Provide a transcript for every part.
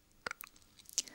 Count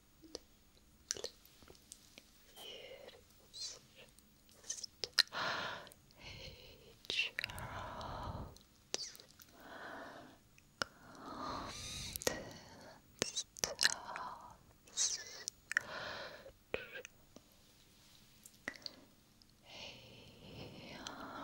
It's just a Charles Constance Hey, okay.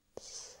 Stress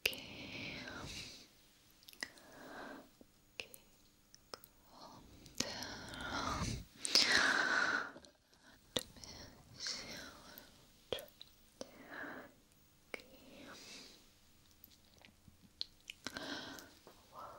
Okay. Okay. Calm down. And miss you out. Okay. One.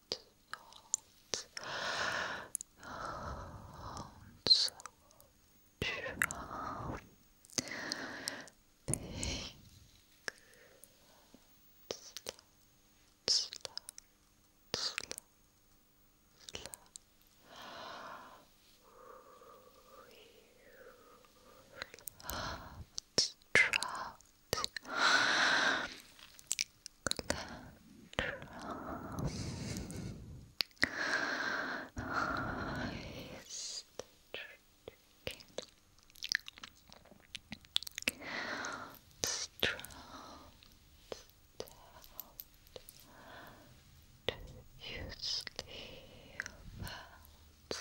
thoughts also from pink slow, slow, slow, slow we love to collateral eyes do you sleep out loud?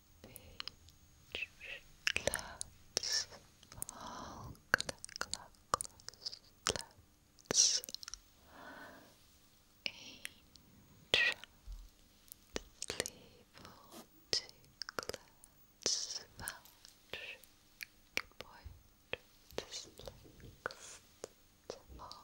Let's all close. Let's angel level to let's vouch. Good boy. This links to all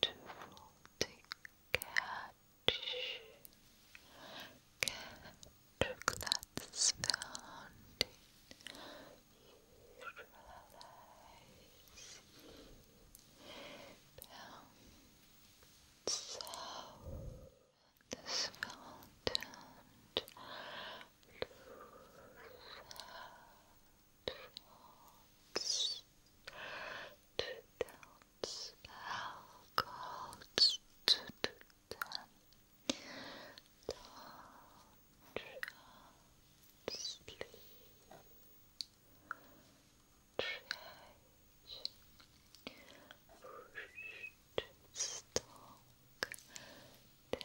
to catch catch that's found in Israelites bound south and fountain frogs, two downs, alcohols, two to ten, don't sleep, trade, pushed, stalk, down.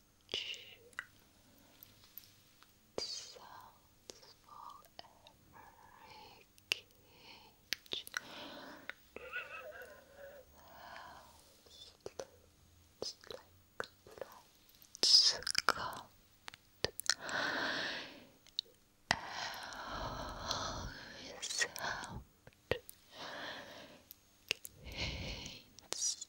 sounds for every cage sounds like lights always helped gains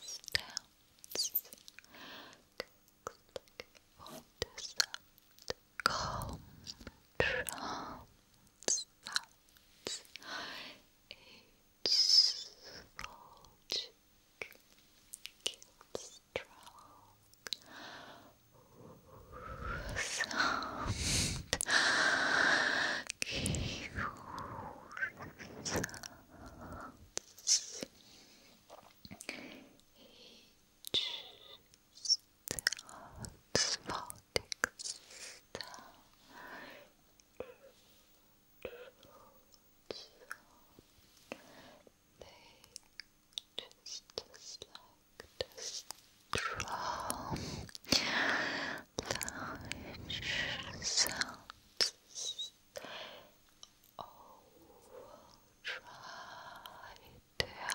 stands on the sound calm each vulture gives strong sounds each spottic they just like this strong, large sounds Overtried middle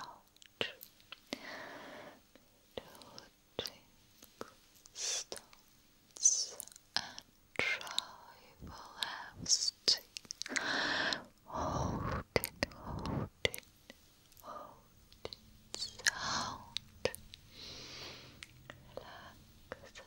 stones and tribal everlasting Hold it, hold it, hold it sound Relax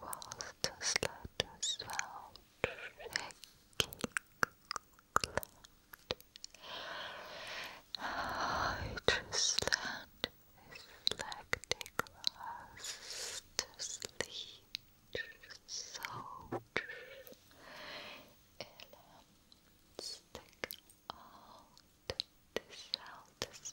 was too slow to swell, shaking cloud. How it slant is like the grass to sleep, so elements stick out the south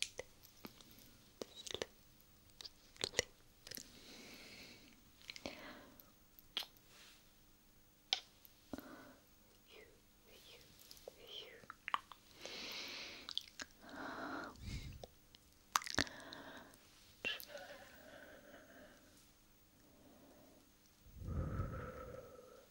sleep, sleep. You, you, you. Relax.